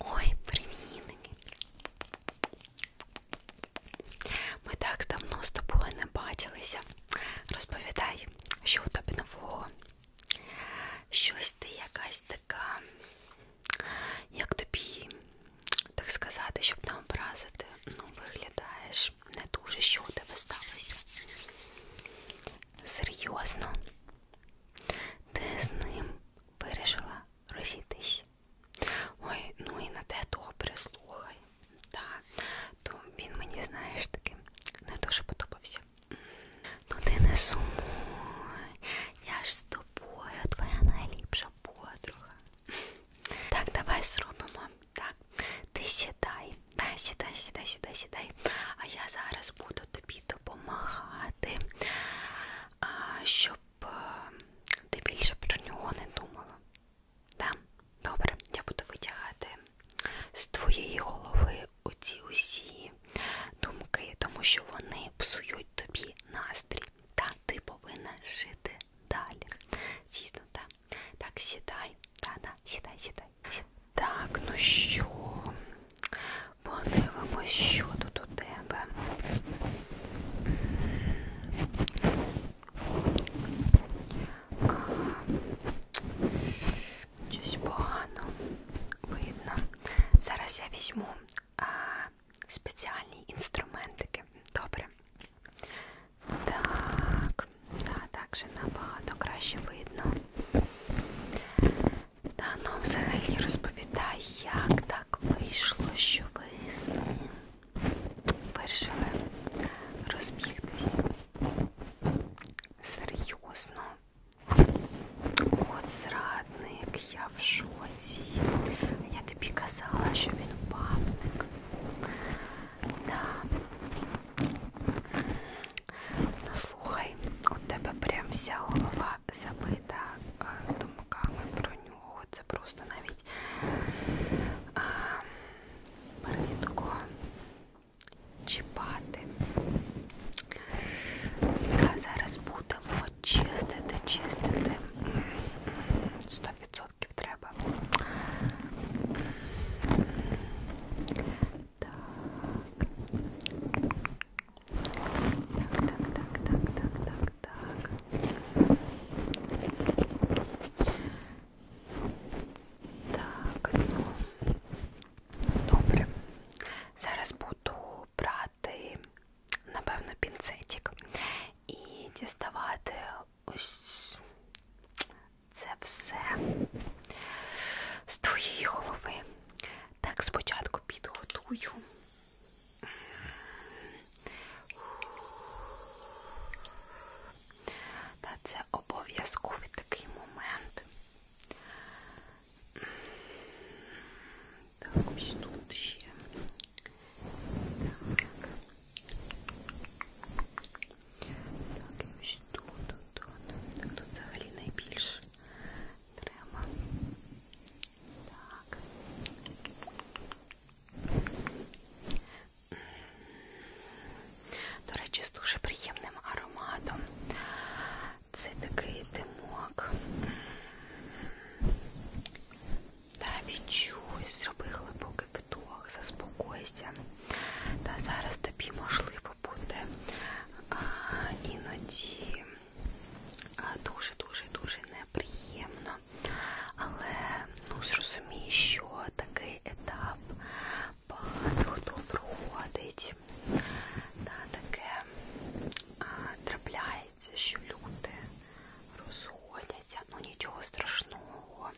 Ой, привітники! Ми так давно з тобою не бачилися. Розповідай, що у тебе нового. Щось ти якась така як тобі, так сказати, щоб не образити, ну, виглядаєш не дуже, що у тебе сталося. Серйозно, ти з ним вирішила розійтись. Ой, ну і на те добре слухай. Так, то він мені, знаєш, таки не дуже подобався. Ну ти не сумуй, я ж з тобою, твоя найліпша моя подруга. Так, давай зробимо. Так, ти сідай, да, сідай, сідай, сідай, сідай. А я зараз буду тобі допомагати, щоб е, ти більше про нього не думала. Да? Добре, я буду витягати з твоєї голови оці усі думки, тому що вони псують тобі настрій. Так, ти повинна жити далі. Дійсно, так. Так, сідай. Так, так, сідай, сідай. Так, ну що? Подивимось, що тут у тебе. А, щось погано видно. Зараз я візьму а, спеціальні інструментики. Добре. Так, да, так же набагато краще видно. Та ну взагалі розповідай, як так вийшло, що ви з ним вирішили розбігтися. Серйозно. От зрадник, я в шоці. Я тобі казала, що він бабник. Да. Ну слухай, у тебе прям вся голова забита е, думками про нього. Це просто навіть а, е, бридко чіпати. Зараз будемо чистити, чистити. 100% треба. Так. Так, так, так, так, так, так, так. Так, ну добре. Зараз буду брати взяти, напевно, пінцетик і діставати ось це все з твоєї голови. Так, спочатку підготую. Та це обов'язковий такий момент. Так, ось тут ще. Так. Так, і ось тут, тут, тут. Так, тут взагалі найбільше треба. Так. До речі, з дуже приємним ароматом. Це такий димок. Та відчуй, зроби глибокий вдох, заспокойся. Та зараз тобі можливо буде а, іноді дуже-дуже-дуже неприємно. Але ну, зрозумій, що такий етап багато хто проходить житті. Та таке а, трапляється, що люди розходяться, ну нічого страшного.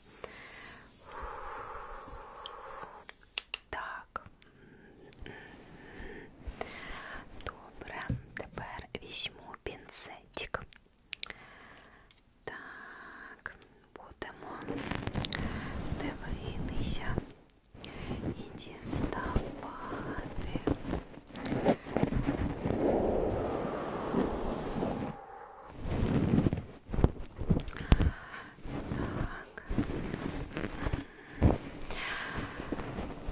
Так. Добре, тепер візьму пінцетик. Так, будемо дивитися і діставати. Так.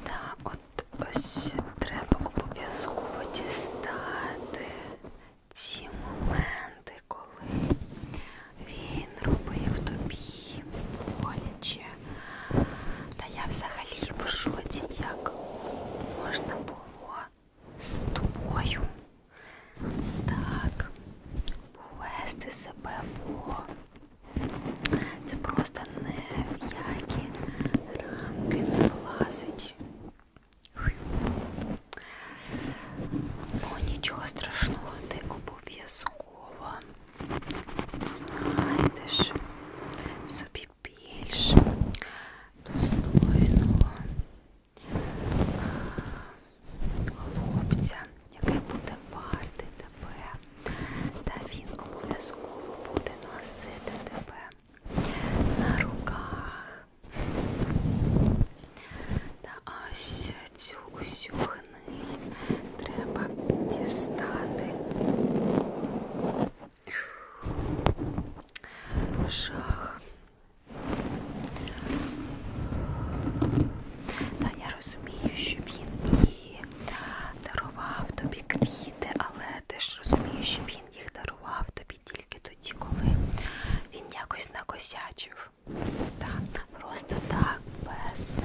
Так, от ось треба обов'язково дістати ці моменти, коли він робив тобі боляче. Та я взагалі в шоці, як можна було з тобою так повести себе по. Це просто не в які рамки не влазить. Ну, нічого страшного, ти обов'язково такого знайдеш собі більш достойного хлопця, який буде варти тебе, та він обов'язково буде носити тебе на руках. Та ось цю усю панель треба дістати. Жах. Та я розумію, що він і дарував тобі квіти, але ти ж розумієш, що він їх дарував тобі тільки тоді, коли він якось накосячив. Та просто так, без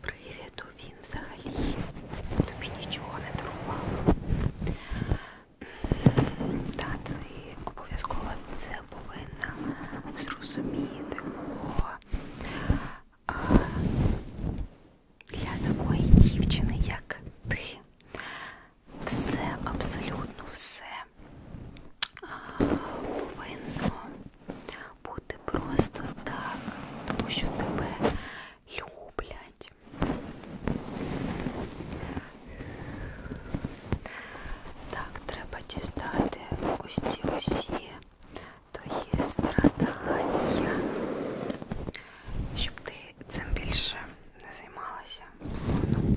привіду, він взагалі тобі нічого не дарував. Та ти обов'язково це повинна зрозуміти, бо а, для такої дівчини, як ти, все абсолютно все повинно бути просто так, тому що тебе люблять. Так, треба дістати ось ці усі твої страдання, щоб ти цим більше не займалася. Ну,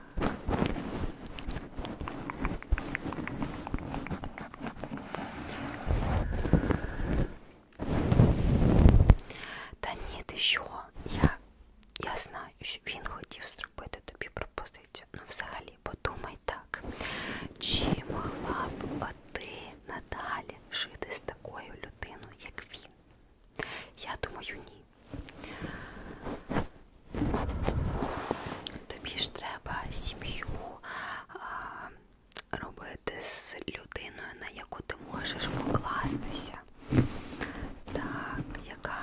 Та ні, ти що? Я, я знаю, що він хотів зробити тобі пропозицію. Ну, взагалі, подумай так, чи могла б ти надалі жити з такою людиною, як він? Я думаю, ні. Тобі ж треба сім'ю робити з людиною, на яку ти можеш покластися, так, яка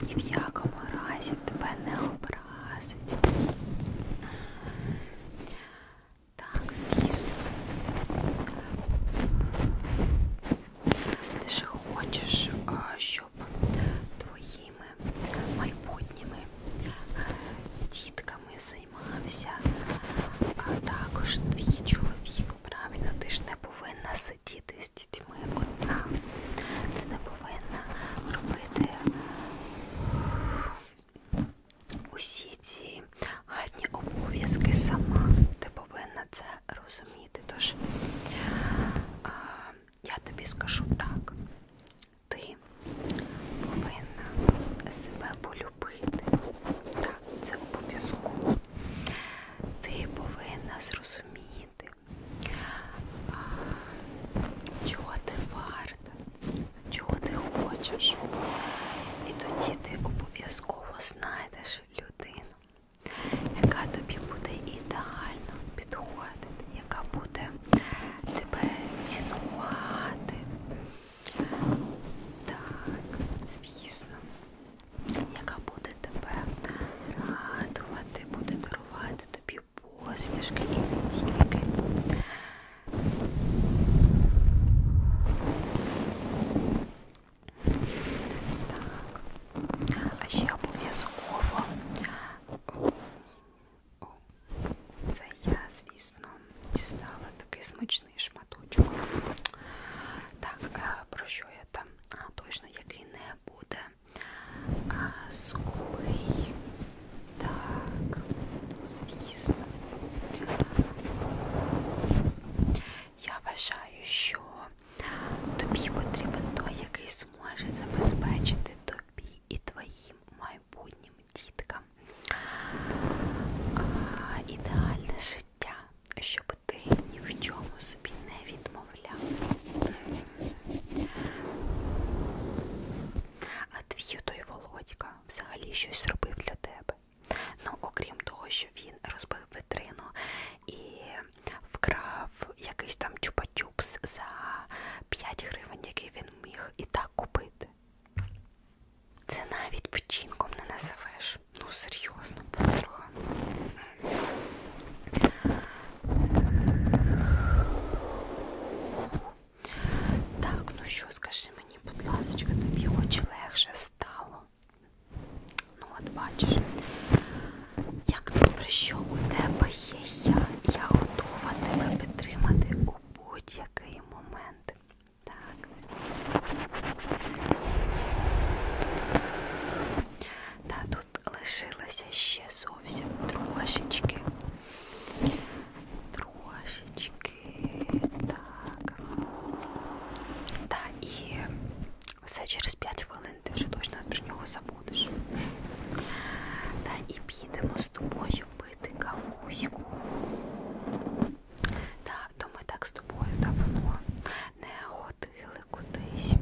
ні в якому разі тебе не образить. Так, звісно. Ти ж хочеш, щоб твоїми майбутніми е, дітками займався, а також твій чоловік. Правильно, ти ж не повинна сидіти з дітьми одна. Ти не повинна робити е, усі ці гарні обов'язки сама. Ти повинна це розуміти. Тож а, я тобі скажу так, ти повинна себе полюбити. Так, це обов'язково. Ти повинна зрозуміти, а, чого ти варта, чого ти хочеш. І тоді ти обов'язково знайдеш людину, яка тобі буде ідеально підходити, яка буде тебе цінувати. Так, звісно, яка буде тебе радувати, буде дарувати тобі посмішки і не тільки. Так, ще обов'язково це я, звісно, дістала такий смачний шматочок. Так, е, про що я там? А, точно який не буде скупий. Так, звісно. Я вважаю, що Тобі потрібен той, який зможе забезпечити тобі і твоїм майбутнім діткам а, ідеальне життя, щоб ти ні в чому собі не відмовляв. А твій той Володька взагалі щось робив для тебе. Ну, окрім того, що він розбив витрину і вкрав якийсь там чупа-чупс за 5 гривень, який він міг і так купити. Це навіть вчинком не називеш. Ну, серйозно, подруга. Так, ну що, скажи мені, будь ласка, тобі очі легше стало. Ну, от бачиш, як добре, що у тебе є я. Я готова тебе підтримати у будь-який момент. Так, звісно. Та тут лишилося ще зовсім трошечки. Трошечки. Так. Так, і все через 5 хвилин ти вже точно про нього забудеш. Та і підемо з тобою пити кавуську. Так, то ми так з тобою давно не ходили кудись.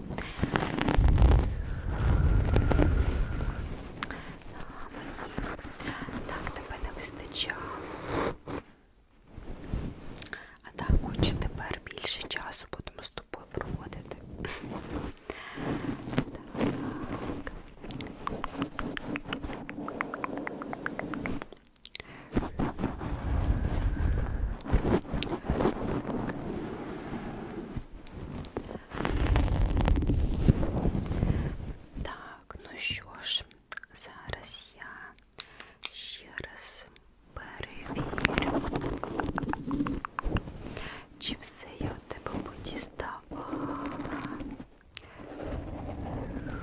Та, мені так тебе не вистачало. А так, хоч тепер більше часу будемо з тобою проводити. Так. Так, ну що ж, зараз я Ще раз перевірю, чи все я в тебе подіставала. Так.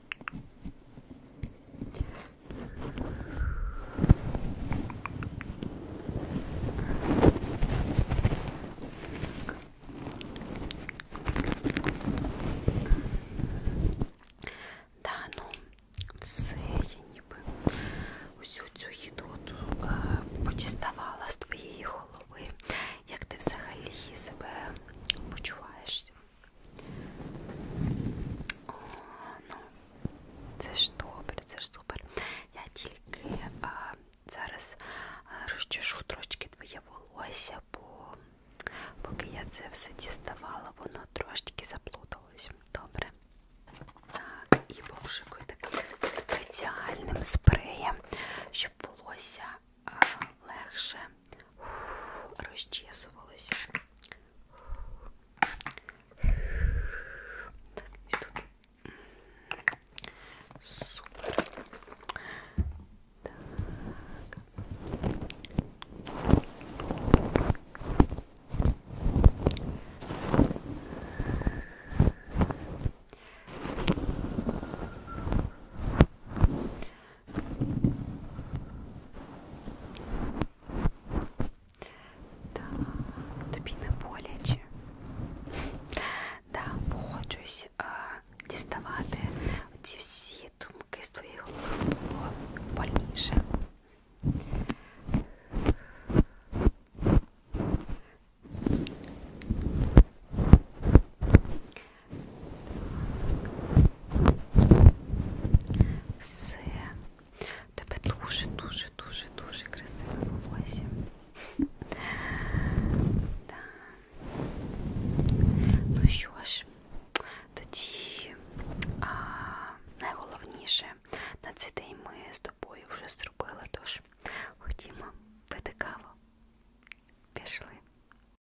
Да, ну все я ніби усю цю гідоту е, подіставала з твоєї голови. Як ти взагалі себе почуваєшся? Ну, це ж добре, це ж супер. Я тільки а, зараз розчешу трошки твоє волосся, бо поки я це все діставала, воно трошки заплуталось. Добре. Так, і пошукую таким спеціальним спреєм, щоб волосся а, легше расчесывалась. И тут... Супер. Так. Так, тобі не боляче. Да, погоджуюсь а, е, діставати ці всі думки з твоєї голови було больніше. Все. Тебе дуже-дуже-дуже-дуже красиве волосся. да. Ну що ж, тоді а, найголовніше на цей день ми з тобою вже зробили, тож ходімо пити каву. Пішли.